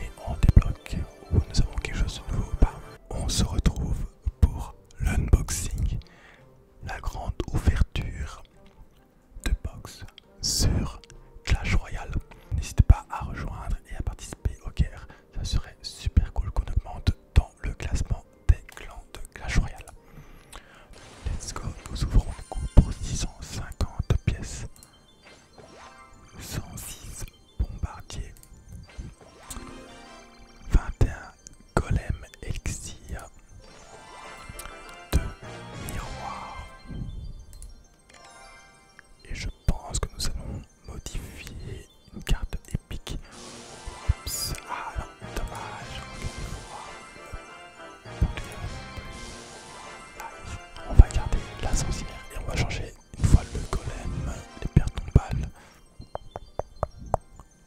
Et on débloque où nous avons quelque chose de nouveau pas. On se retrouve pour l'unboxing, la grande ouverture de box sur Clash Royale. N'hésitez pas à rejoindre et à participer au guerres, Ça serait super cool qu'on augmente dans le classement des clans de Clash Royale. Let's go, nous ouvrons le coup pour 650 pièces. 106 bombardiers, 21 golem elixir, 2 miroirs. Et je pense que nous allons modifier une carte épique. ah non, dommage. On va garder la sorcière et on va changer une fois le golem, les pertes nombales.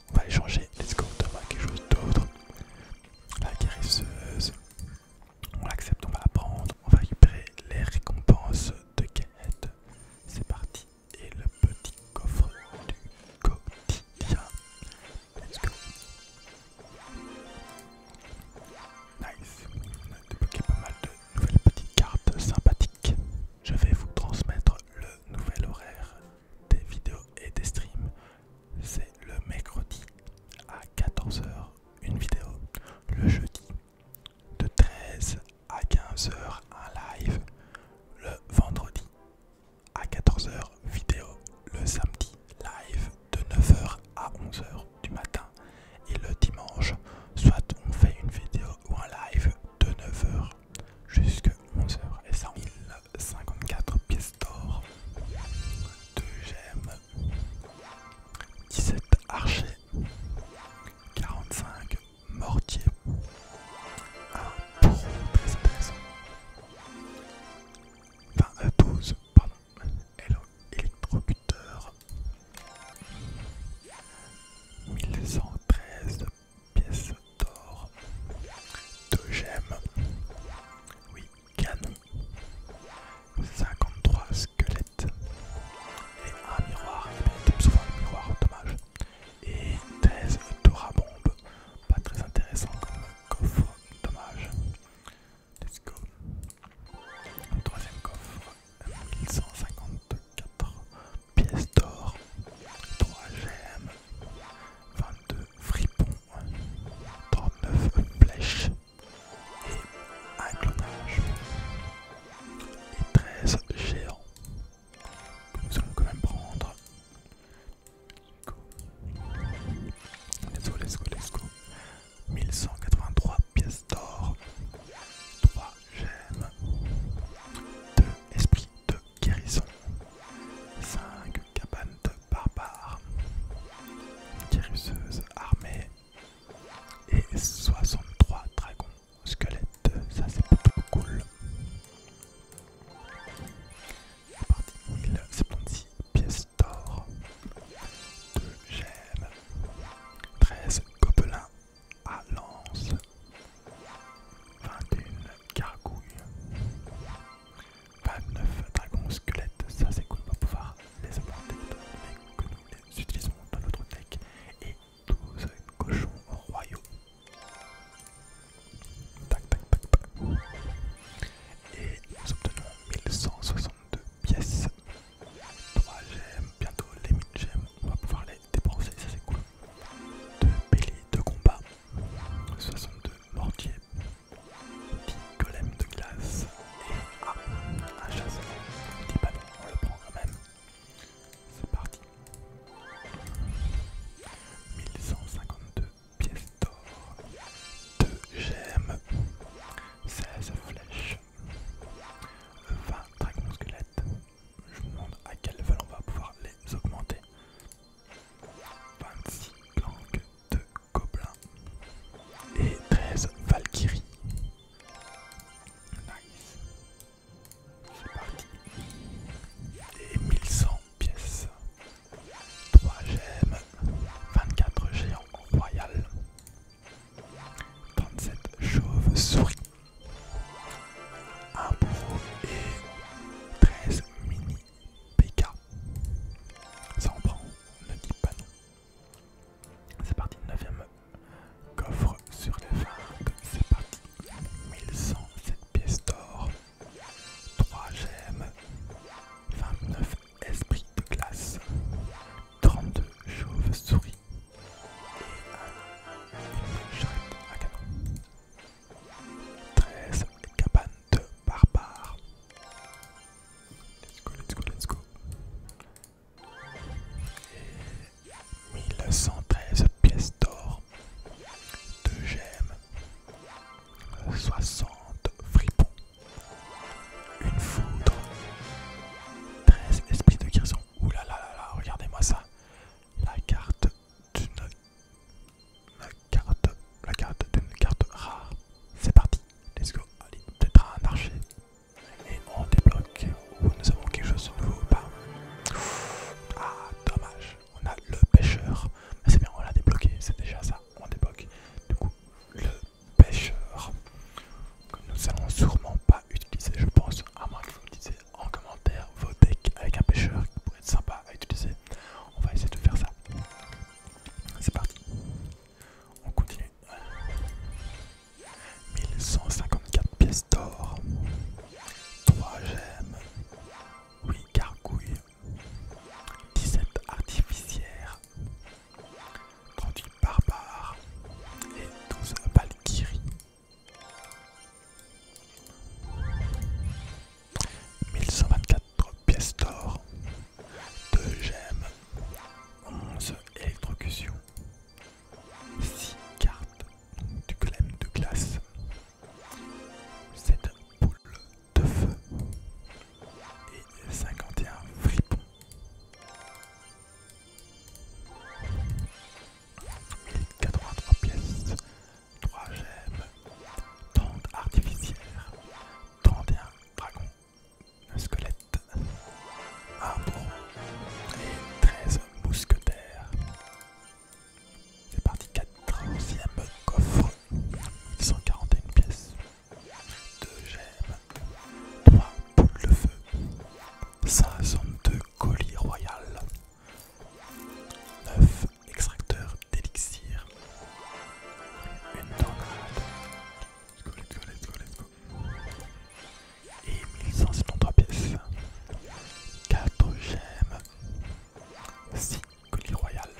On va les changer, les go, quelque chose d'autre. La guérisseuse, on l'accepte, on va la prendre. On va récupérer les récompenses de quête. C'est parti. Et le petit coffre du quotidien. Let's go. Nice. débloqué pas mal de nouvelles petites cartes sympathiques. Je vais vous transmettre le nouvel horaire des vidéos et des streams. C'est le mercredi à 14h une vidéo. Le jeudi de 13 h à 15h un live. Le vendredi à 14h vidéo. Le samedi live de 9h à 11h du matin et le dimanche, soit on fait une vidéo ou un live de 9h jusqu'à 11h et ça 1054 pièces d'or, 2 gemmes, 17 archers, 45 mortiers, un 12 euh, pardon, électrocuteur 1113 pièces d'or 2 gemmes oui canon 53 squelettes et un miroir Et tombe un miroir dommage et 13 torabombe pas très intéressant comme coffre dommage Let's go. Troisième coffre, 1154 pièces d'or, 3 gemmes, 22 fripons, 39 flèches et un clonage. Et 13 géants. que Nous allons quand même prendre. Let's go, let's go, let's go. 1183 pièces d'or, 3 gemmes, 2 esprits de guérison, 5 cabanes de barbares, guérisseuse armée et 63 dragons squelettes. Ça c'est plutôt cool. C'est parti, 1076 pièces d'or, 2 gemmes, 13 gobelins à lance, 21 gargouilles, 29 dragons squelettes, ça c'est cool, on va pouvoir les mais que nous les utilisons dans notre deck, et 12 cochons royaux. Tac, tac, tac, tac. Et nous obtenons 1162 pièces. 3 gemmes, bientôt les 1000 gemmes, on va pouvoir les dépenser, ça c'est cool. 2 béliers de combat, 62 mortiers, 10 golems de glace et un chasseur. 10 ballons, on le prend quand même. C'est parti. 1152 pièce d'or, 2 gemmes, 16 flèches, 20 dragons squelettes. Je me demande à quel vol on va pouvoir les augmenter. 26 langues de gobelins et 13 valkyries. Nice. C'est Et 1100 pièces. 3 gemmes, 24 géants royal, 37 chauves-souris, 1 bourreau et 13 mini PK. Ça en prend, ne dites pas non. C'est parti, 9ème coffre sur les vagues, c'est parti, 1107 pièces d'or. 3 gemmes, 29 esprit de glace, 32 chauves-souris et un charrette à canon, 13 cabanes de barbares. Let's go, let's go, let's go. Et 1113 pièces d'or, 2 gemmes, 60 fripons, une foudre, 13 esprits de guérison. Ouh là là là regardez-moi ça. La carte d'une carte, la carte d'une carte rare. C'est parti, let's go. Allez, peut-être un archer. Et on débloque. ou nous avons quelque chose de nouveau ou pas Ah, dommage on a le pêcheur. Mais c'est bien, on l'a débloqué, c'est déjà ça, on débloque. Du coup, le pêcheur que nous allons sûrement pas utiliser, je pense, à moins que vous me en commentaire vos decks avec un pêcheur qui pourrait être sympa à utiliser. On va essayer de faire ça. C'est parti. On continue. 1154 pièces d'or. 3 gemmes. 8 gargouilles. 17 artificiaires 38 barbares et 12 valkyries. 1124 pièces d'or, 2 gemmes, 11 électrocutions, 6 cartes du golem de glace, 7 poules de feu et 51 fripons. Et pièces, 3 gemmes, 30 artificières, 31 dragons, un squelette, un bon et 13 mousquetaires. C'est parti 4 ème coffre. 141 pièces. 2 gemmes. 3 boules de feu. 52 colis royal. 9 extracteurs d'élixir. Une tornade. Et 1173 pièces. 4 gemmes. 6 colis royal,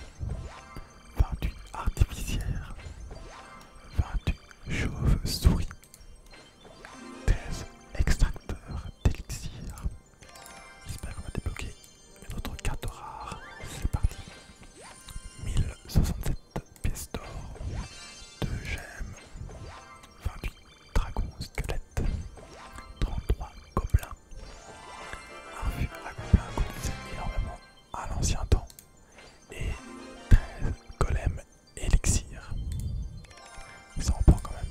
28 Artificiaires 28 chauves-souris, 13 extracteurs d'élixir. J'espère qu'on va débloquer une autre carte rare. C'est parti. 1067 pièces d'or, 2 gemmes, 28 dragons squelettes, 33 gobelins, ah, Un fût accomplit un coup de énormément à l'ancien temps et 13 golems élixir. Ça reprend quand même.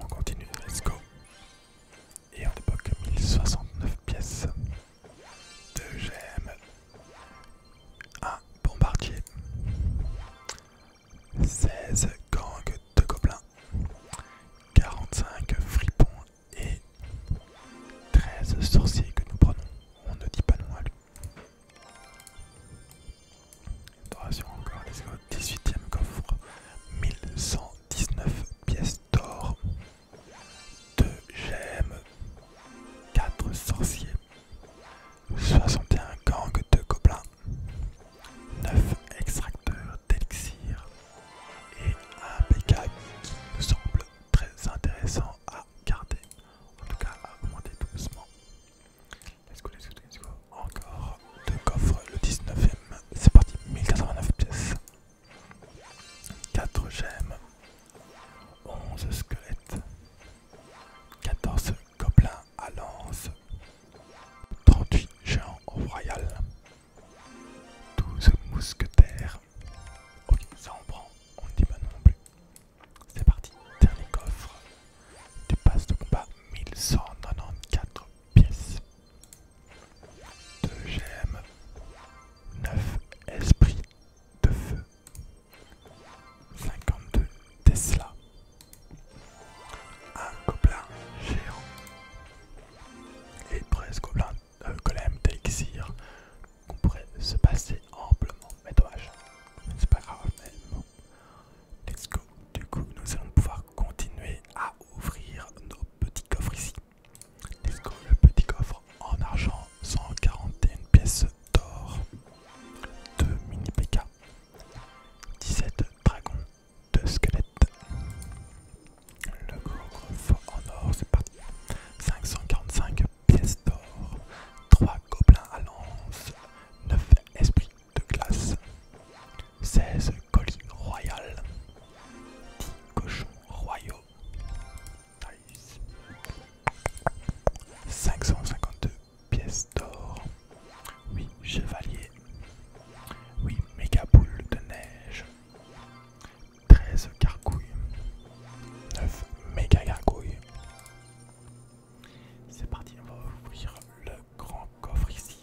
On continue, let's go. Et on débloque 1069 pièces de gemmes un ah, bombardier. 16 gangs de gobelins. 45 fripons et 13 sorciers que nous prenons. On ne dit pas non à lui. encore, 18ème coffre. 1119 pièces d'or. 2 gemmes. 4 sorciers. 61 gangs de gobelins, 9 extracteurs d'élixir et un PK qui me semble très intéressant à garder, en tout cas à augmenter doucement. Encore deux coffres, le 19ème, c'est parti, 1089 pièces. 4 gemmes, 11 squelettes, 14 gobelins à lance, 38 géants au royal, 12 mousquetaires. Ok, ça on prend, on ne dit pas non plus. C'est parti, dernier coffre du pass de combat 1194 pièces. 2 gemmes, 9 esprits de feu, 52 Tesla. Un gobelin géant. Et presque plein euh, golem qu'on pourrait se passer amplement. Mais dommage, c'est pas grave, mais Let's go. Du coup, nous allons pouvoir continuer à ouvrir nos petits coffres ici. Let's go, le petit coffre en argent, 141 pièces d'or, 2 mini PK, 17 dragons, 2 squelettes. Le feu en or, c'est parti. 545 pièces d'or, 3 gobelins à lance, 9 esprits de glace, 16 colis royales, 10 cochons royaux, 552 pièces d'or. 8 chevaliers 8 méga boule de neige. 13 gargouilles. 9 méga gargouilles. C'est parti, on va ouvrir le grand coffre ici.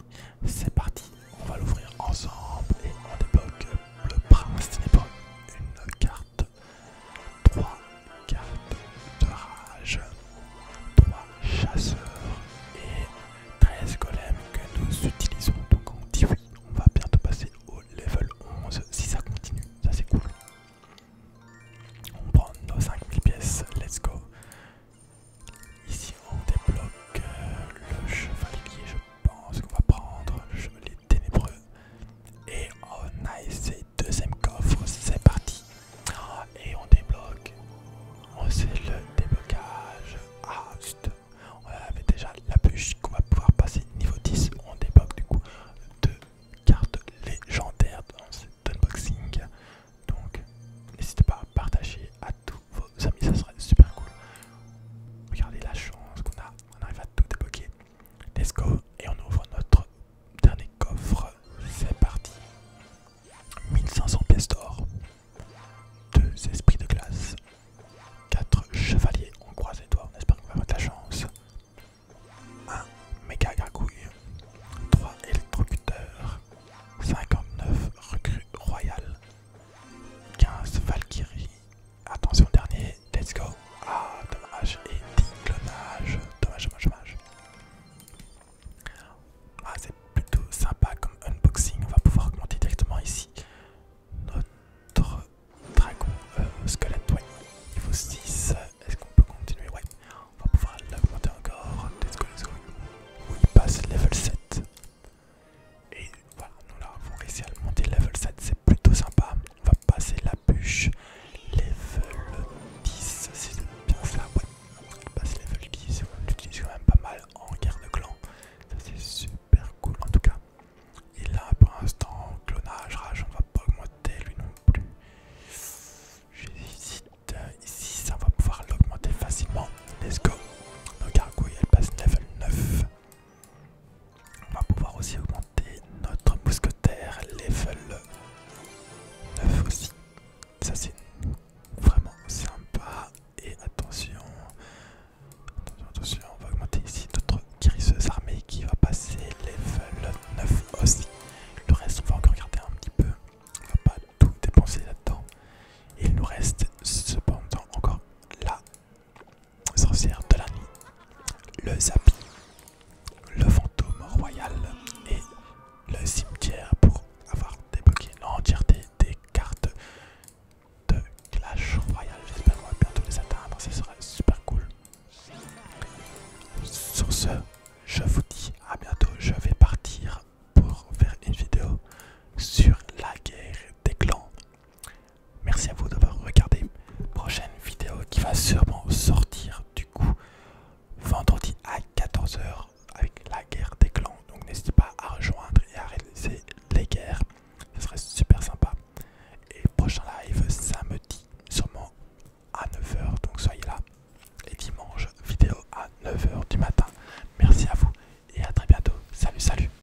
C'est parti, on va l'ouvrir ensemble et on débloque le prince. Ce n'est pas une carte 3 cartes de rage, 3 chasseurs et 13 golems que nous utilisons. Donc on dit oui, on va bientôt passer au level 11 si ça continue, ça c'est cool. On prend nos 5000 pièces, let's go. Ici on débloque euh, le chevalier, je pense qu'on va prendre les ténébreux. Et on a essayé deuxième coffre, c'est parti. Ah, et on débloque. On oh, sait le déblocage. Ah, on avait déjà la bûche qu'on va pouvoir passer niveau 10. On débloque du coup deux cartes légendaires dans cet unboxing. Donc n'hésitez pas à partager à tous vos amis, ça serait super cool. Regardez la chance qu'on a, on arrive à tout débloquer. Let's go et on ouvre notre dernier coffre. C'est parti. 1500 pièces d'or. 2 esprits de glace. 4 chevaliers. On croise les doigts, on espère qu'on va avoir de la chance. 1 méga gargouille. 3 électrocuteurs. 59 recrues royales. 15 Valkyrie. Attention dernier, let's go. Ah, dommage. Et clonage. Dommage, dommage, dommage. Ah, c'est plutôt sympa comme unboxing. On va pouvoir augmenter directement ici notre dragon euh, squelette. Ouais, niveau 6. Est-ce qu'on peut continuer Ouais, on va pouvoir l'augmenter encore. Let's go, let's go. Oui, passe level 7. Et voilà, nous l'avons avons réussi à le monter level 7, c'est plutôt sympa. On va passer la bûche level 10, c'est bien ça ouais. On passe level 10, on l'utilise quand même pas mal en guerre de clan. Ça c'est super cool en tout cas. Et là pour l'instant, clonage, rage, on va pas augmenter lui non plus. J'hésite ici, ça va pouvoir l'augmenter facilement. Let's go. Nos gargouilles elles passe level 9. On va pouvoir aussi augmenter notre mousquetaire level 9 aussi. Ça c'est vraiment sympa. Et attention, attention, on va augmenter ici notre guérisseuse armée qui va passer level 9 aussi. Le reste, on va encore regarder un petit peu. On va pas tout dépenser là-dedans. Il nous reste cependant encore là sorcière de la nuit, le zapi, le fantôme royal et le cimetière pour avoir débloqué l'entièreté des cartes de Clash royal, J'espère qu'on bientôt les atteindre, ce serait super cool. Sur ce, je vous dis à bientôt, je vais partir pour faire une vidéo sur la guerre des clans Merci à vous d'avoir regardé. Prochaine vidéo qui va sûrement sortir du coup vendredi à 14h avec la guerre des clans. Donc n'hésitez pas à rejoindre et à réaliser les guerres. Ce serait super sympa. Et prochain live samedi sûrement à 9h. Donc soyez là. Et dimanche vidéo à 9h du matin. Merci à vous et à très bientôt. Salut salut.